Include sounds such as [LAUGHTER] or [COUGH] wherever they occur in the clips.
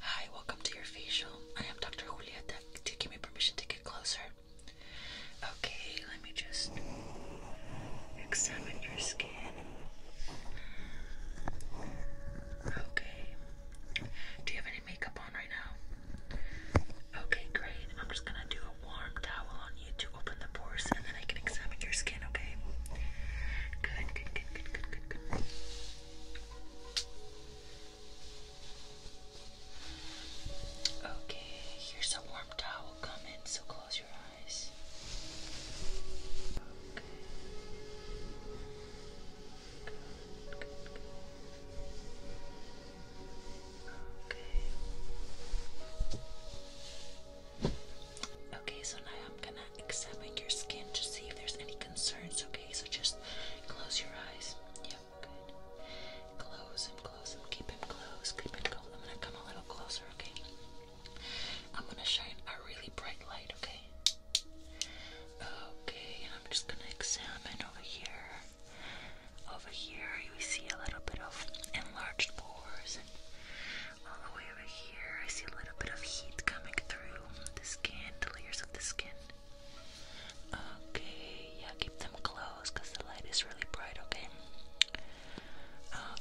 Hi, welcome to your facial. I am Dr. Juliette. Do give me permission to get closer? Okay, let me just examine your skin. Okay. Do you have any makeup on right now? Okay, great. I'm just gonna do a warm towel on you to open the pores and then I can examine your skin okay? Good, good, good, good, good, good, Okay, here's a warm towel coming, so close your eyes. Okay. Good, good, good. Okay. Okay, so now I'm gonna examine your skin to see if there's any concerns. Okay, so just close your eyes. Yep, good. Close them, close them, keep them close, keep it close. I'm gonna come a little closer, okay? I'm gonna shine a really bright light, okay? Okay, and I'm just gonna examine over here. Over here, you see a little bit of enlarged pores all the way over here I see a little bit of heat coming through the skin, the layers of the skin. Okay, yeah, keep them closed because the light is really bright, okay?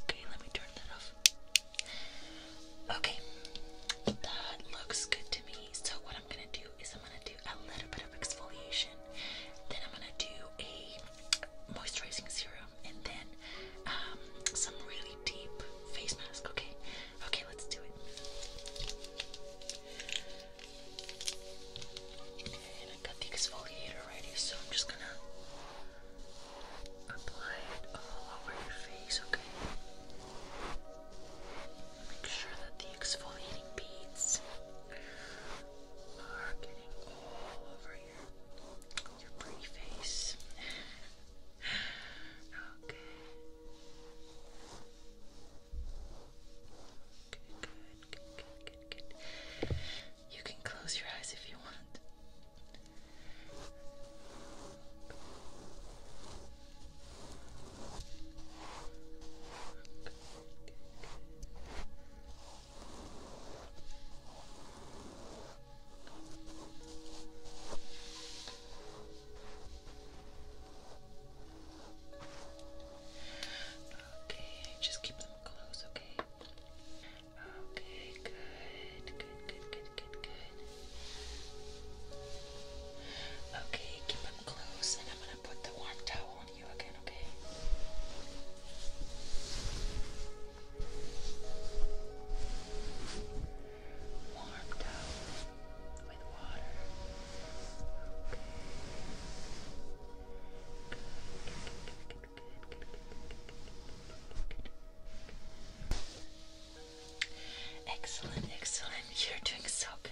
Okay, let me turn that off. Okay, that looks good to me. So what I'm gonna do is I'm gonna do a little bit of exfoliation, then I'm gonna do a moisturizing serum, and then um, some really deep face mask. Okay, okay, let's do it. And I got the exfoliator ready, so I'm just gonna apply it all over your face. Okay, make sure that the exfoliating beads are getting all over your, pretty face. okay. Good, good, good, good, good, good. You can close your eyes if you want. Good, Okay, just keep them close, okay? Okay, good, good, good, good, good, good. Okay, keep them close, and I'm gonna put the warm towel Warm towel with water. Excellent, excellent. You're doing so good.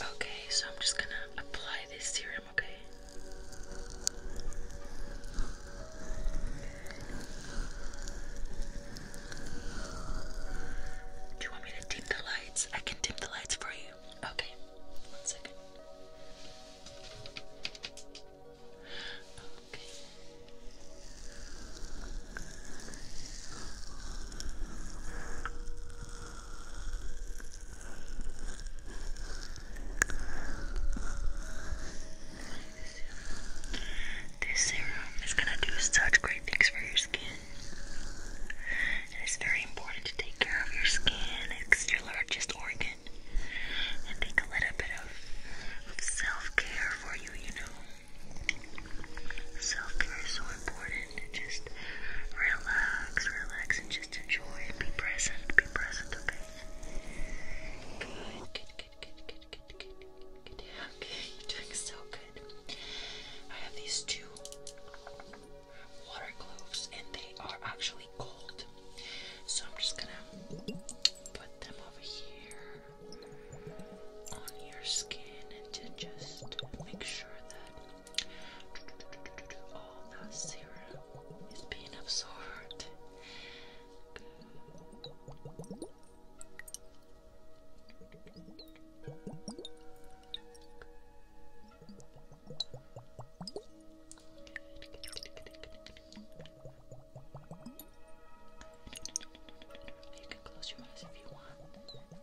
Okay, so I'm just gonna apply this serum, okay? Do you want me to dim the lights? I can dim the lights for you. Okay, one second. Okay. This serum is gonna do such great things for your skin. It is very important to take care of your skin. It's your largest organ. and take a little bit of, self-care for you, you know. Self-care is so important. Just relax, relax, and just enjoy and be present. Be present, okay? Good, good, good, good, good, good, good, good. Okay, you're doing so good. I have these two water cloves and they are actually cold. So I'm just gonna put them over here on your skin and to just make sure that all the serum is being absorbed. You can close your eyes if you want. Okay.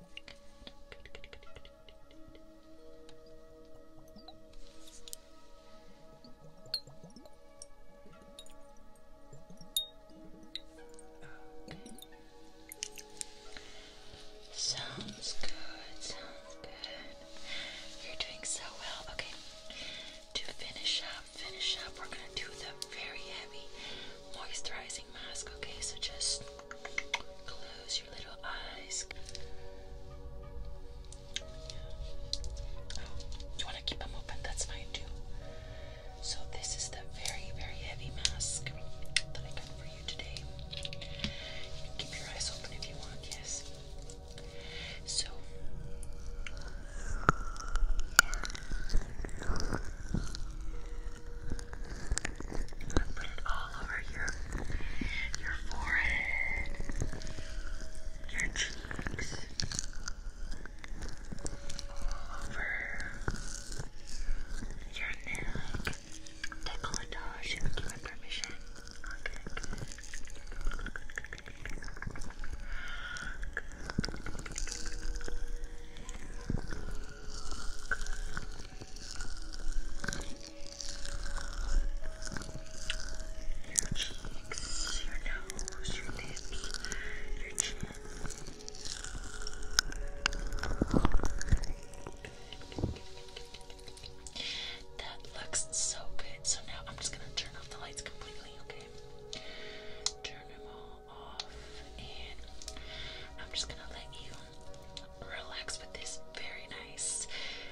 Sounds good, sounds good. You're doing so well. Okay, to finish up, finish up, we're gonna do the very heavy moisturizing mask. Okay, so just close your little eyes. Oh, you want to keep them open? That's fine too. So this is the very, very heavy mask that I got for you today. keep your eyes open if you want, yes. So put it all over your your forehead, your cheeks, all over your neck. Decolletage. You give me permission. Okay, Your cheeks, your nose, your lips, your chin. That looks so good. So now I'm just gonna turn off the lights completely, okay? Turn them all off, and I'm just gonna let you relax with this very nice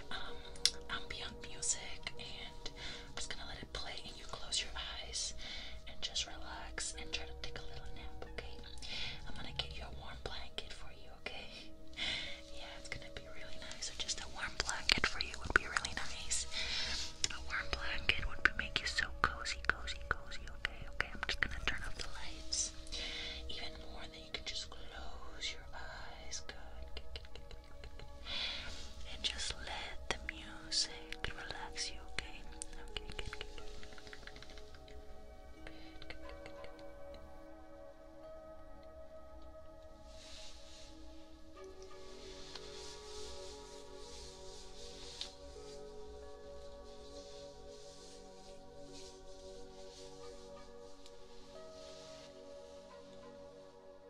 um, ambient music, and I'm just gonna let it play, and you close your eyes, and just relax and try to take a little nap, okay? I'm gonna get you a warm blanket for you, okay? [LAUGHS] Yeah, it's gonna be really nice. So just a warm blanket for you would be really nice. A warm blanket would be, make you so cozy, cozy, cozy, okay? Okay, I'm just gonna turn off the lights even more, and then you can just close your eyes. good. And just let the music music relax you, okay? Okay, good, good,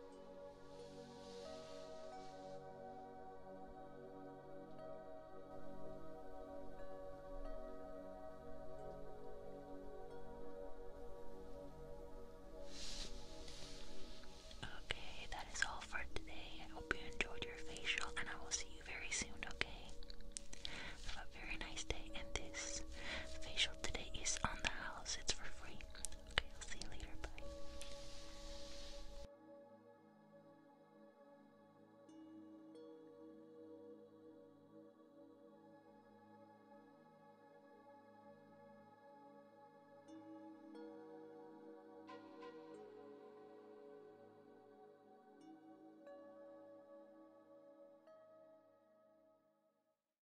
Okay, that is all for today. I hope you enjoyed your facial, and I will see you very soon, okay? Have a very nice day, and this facial today is on the house, it's for free. Okay, I'll see you later. Bye.